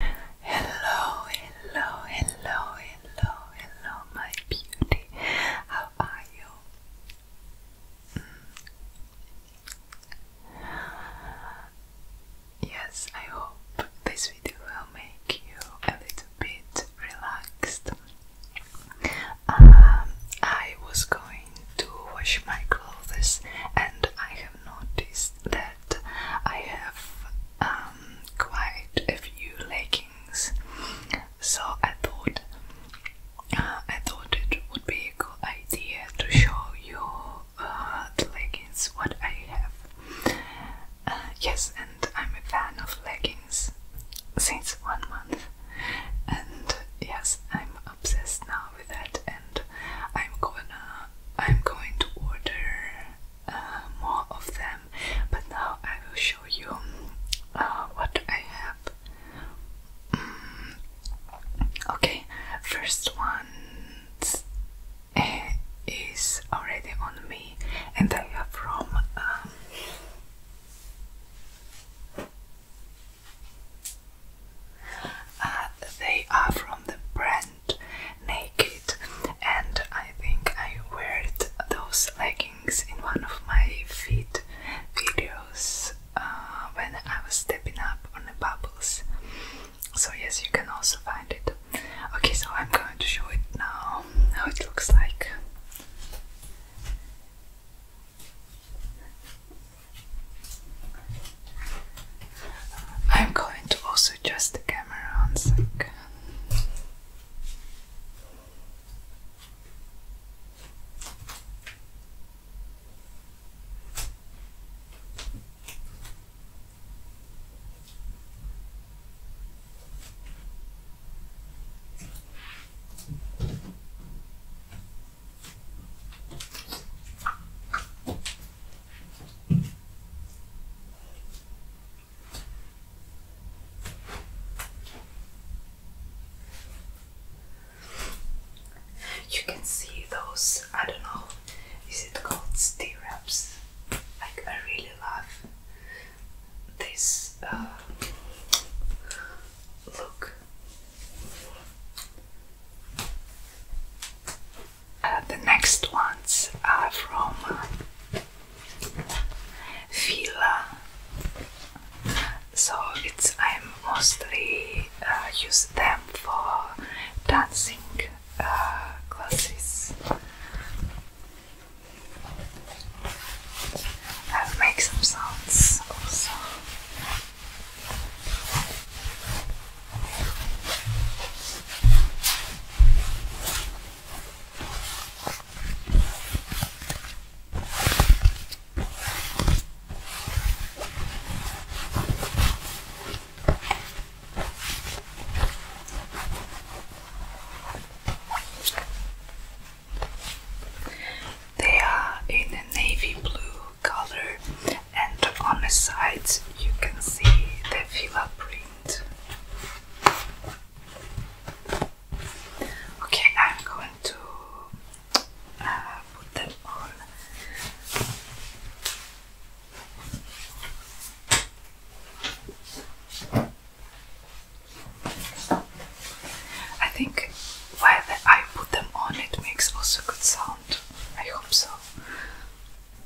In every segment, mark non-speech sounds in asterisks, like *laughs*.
Hello, hello, hello, hello, hello, my beauty. How are you? Mm. Yes, I hope this video will make you a little bit relaxed. Um, I was going to wash my clothes and I have noticed that. I have um, quite a few leggings, so I thought uh, I thought it would be a good idea to show you uh, the leggings what I have. Uh, yes, and I'm a fan of leggings since one month, and yes, I'm obsessed now with that, and I'm gonna I'm going to order uh, more of them but now I will show you uh, what I have mm. okay first one eh, is already on me and I have from um, uh, they are from the brand naked and I think I wore those leggings in one of my feet videos uh, when I was stepping up on the bubbles so yes you can also find it okay so I'm going to show it now how it looks like I'm going to also adjust the camera on second. You can see those, I don't know, is it called stirrups? Like, I really love this uh, look. Uh, the next ones are from uh, Fila. So it's i mostly uh, use them for dancing classes. I'll make some sounds also. They are in a navy blue color and on the sides you can see the fila print. Okay, I'm going to uh, put them on. I think while I put them on, it makes also good sound. I hope so.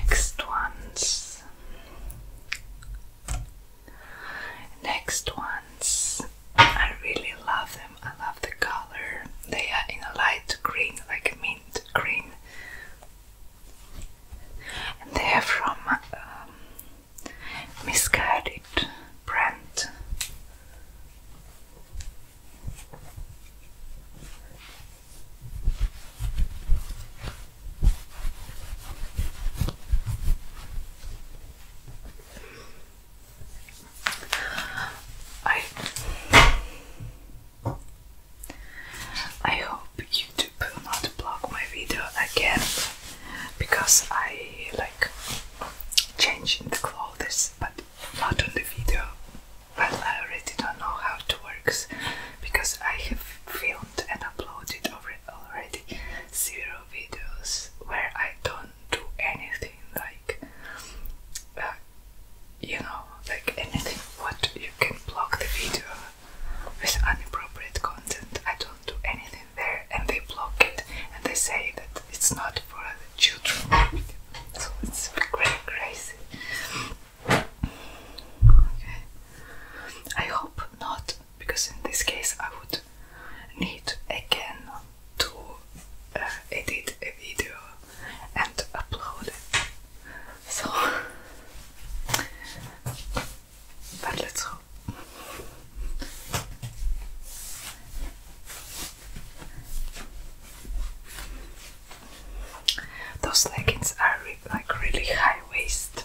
Next ones. Next ones. I really love them. I love the color. They are in a light green, like mint green. And they are from um, Misguided brand. I I hope YouTube will not block my video again because I like changing the clothes but not on the video. Well I already don't know how it works because I have filmed and uploaded already zero videos where I don't do anything like uh, you know, like anything what you can block the video with inappropriate content. I don't do anything there and they block it and they say that it's not for the children. So it's very crazy. Okay. I hope not because in this case I would need again to uh, edit a video and upload it. So, but let's hope. Those leggings are re like really high waist.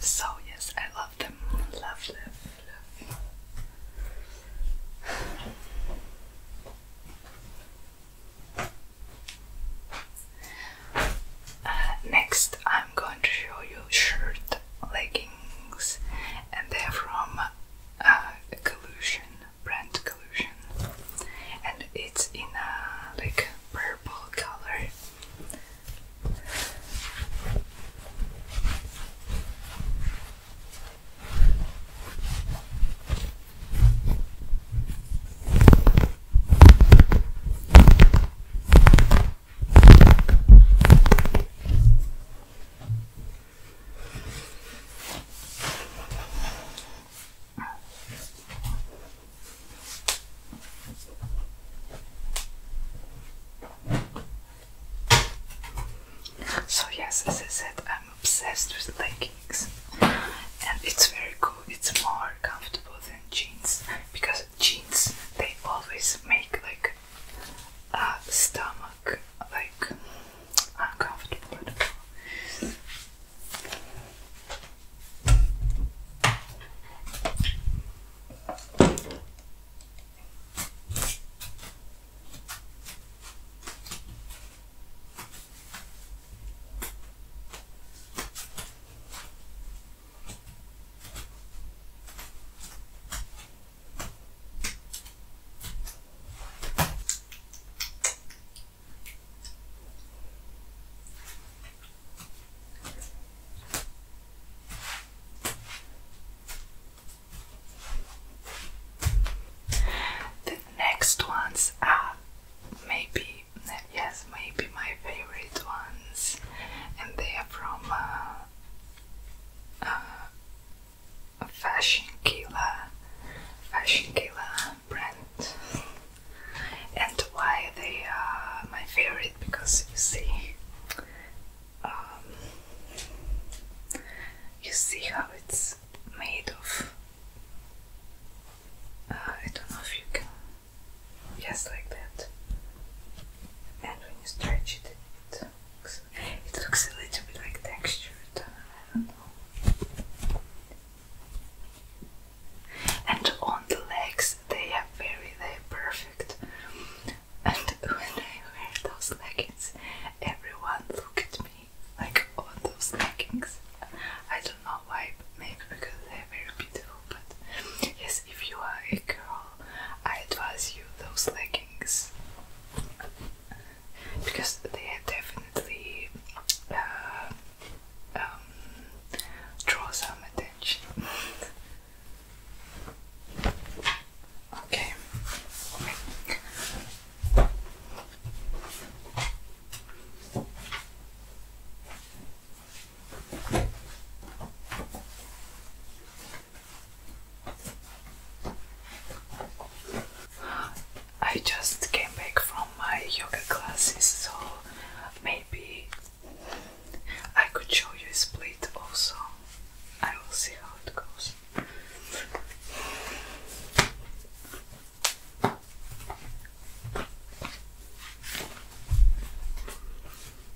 So, yes, I love them. Love, love, love. Uh, next, I'm going to show you shirt leggings, and they're from uh, collusion, brand collusion, and it's in a like purple color. So yes, as I said, I'm obsessed with leggings, and it's very cool. It's more comfortable than jeans because jeans they always make like uh, stomach like uncomfortable the next ones are maybe, yes, maybe my favorite ones, and they are from uh, uh, a fashion killer, fashion killer brand, and why they are my favorite because you see, um, you see how it's made of. Uh, I don't know if you can, just like that, and when you stretch it it looks a little bit like textured. I don't know. And on the legs, they are very, very perfect. And when I wear those leggings, everyone look at me like on oh, those leggings. I don't know why, maybe because they're very beautiful. But yes, if you are a girl, I advise you those leggings because they definitely uh, um, draw some attention. okay. I just came back from my yoga classes, so maybe I could show you a split also. I will see how it goes.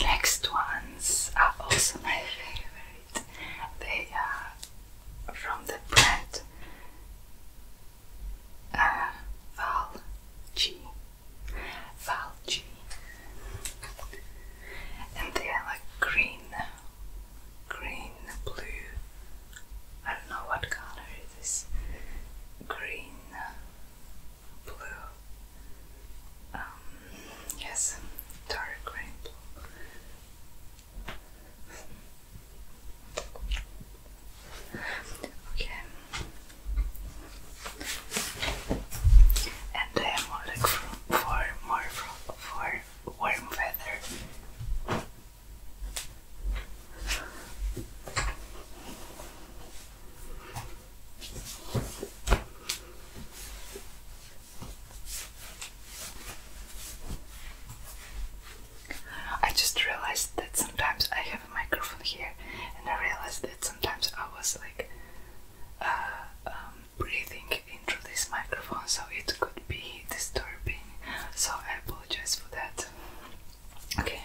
Next ones are also my favorite. They are from the brand uh, Val And they are like green, green, blue. I don't know what color it is. Green, blue. Um, yes, dark green blue. Okay. And I am more for, more for warm weather. I just realized that sometimes I have a microphone here, and I realized that sometimes I was like uh, um, breathing into this microphone, so it could be disturbing. So I apologize for that. Okay.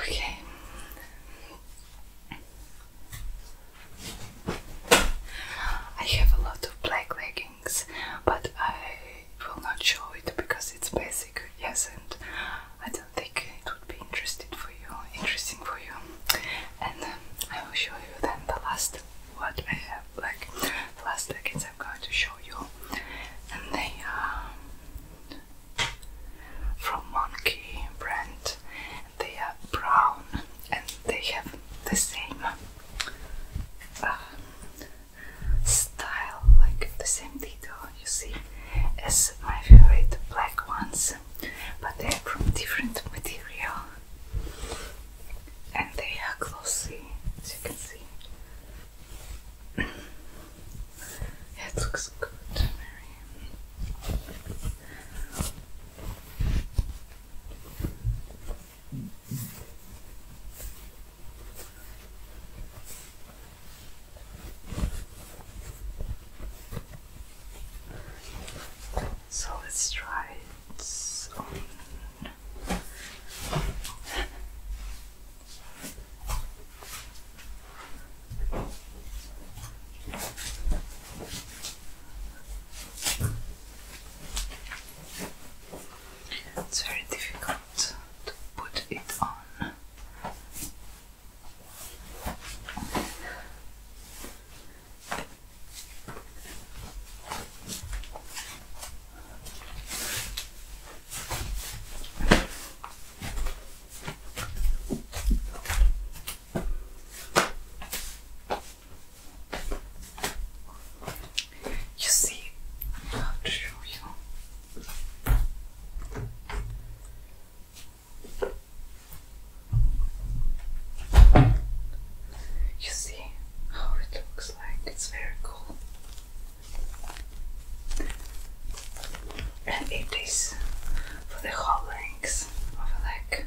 Okay. I have a lot of black leggings, but I will not show it because it's basic, yes, and I don't think it would be interesting for you. Interesting for you, and um, I will show you then the last what I have, like last leggings I'm going to show you, and they are from monkey brand. They are brown and they have the same uh, style, like the same detail you see, as my favorite black ones, but they are from different material and they are glossy, as you can see. It looks good, Mary. So let's try it on. It's very difficult to put it on. You see, I have to show you. You see how it looks like? It's very cool and it is for the whole of a leg.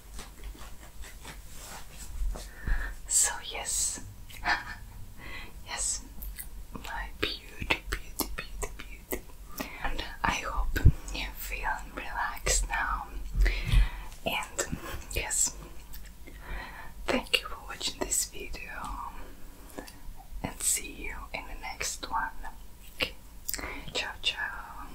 So, yes, *laughs* yes, my beauty, beauty, beauty, beauty. I hope you feel relaxed now. And yes, thank you for watching this video. And see you in the next one. Ciao, ciao.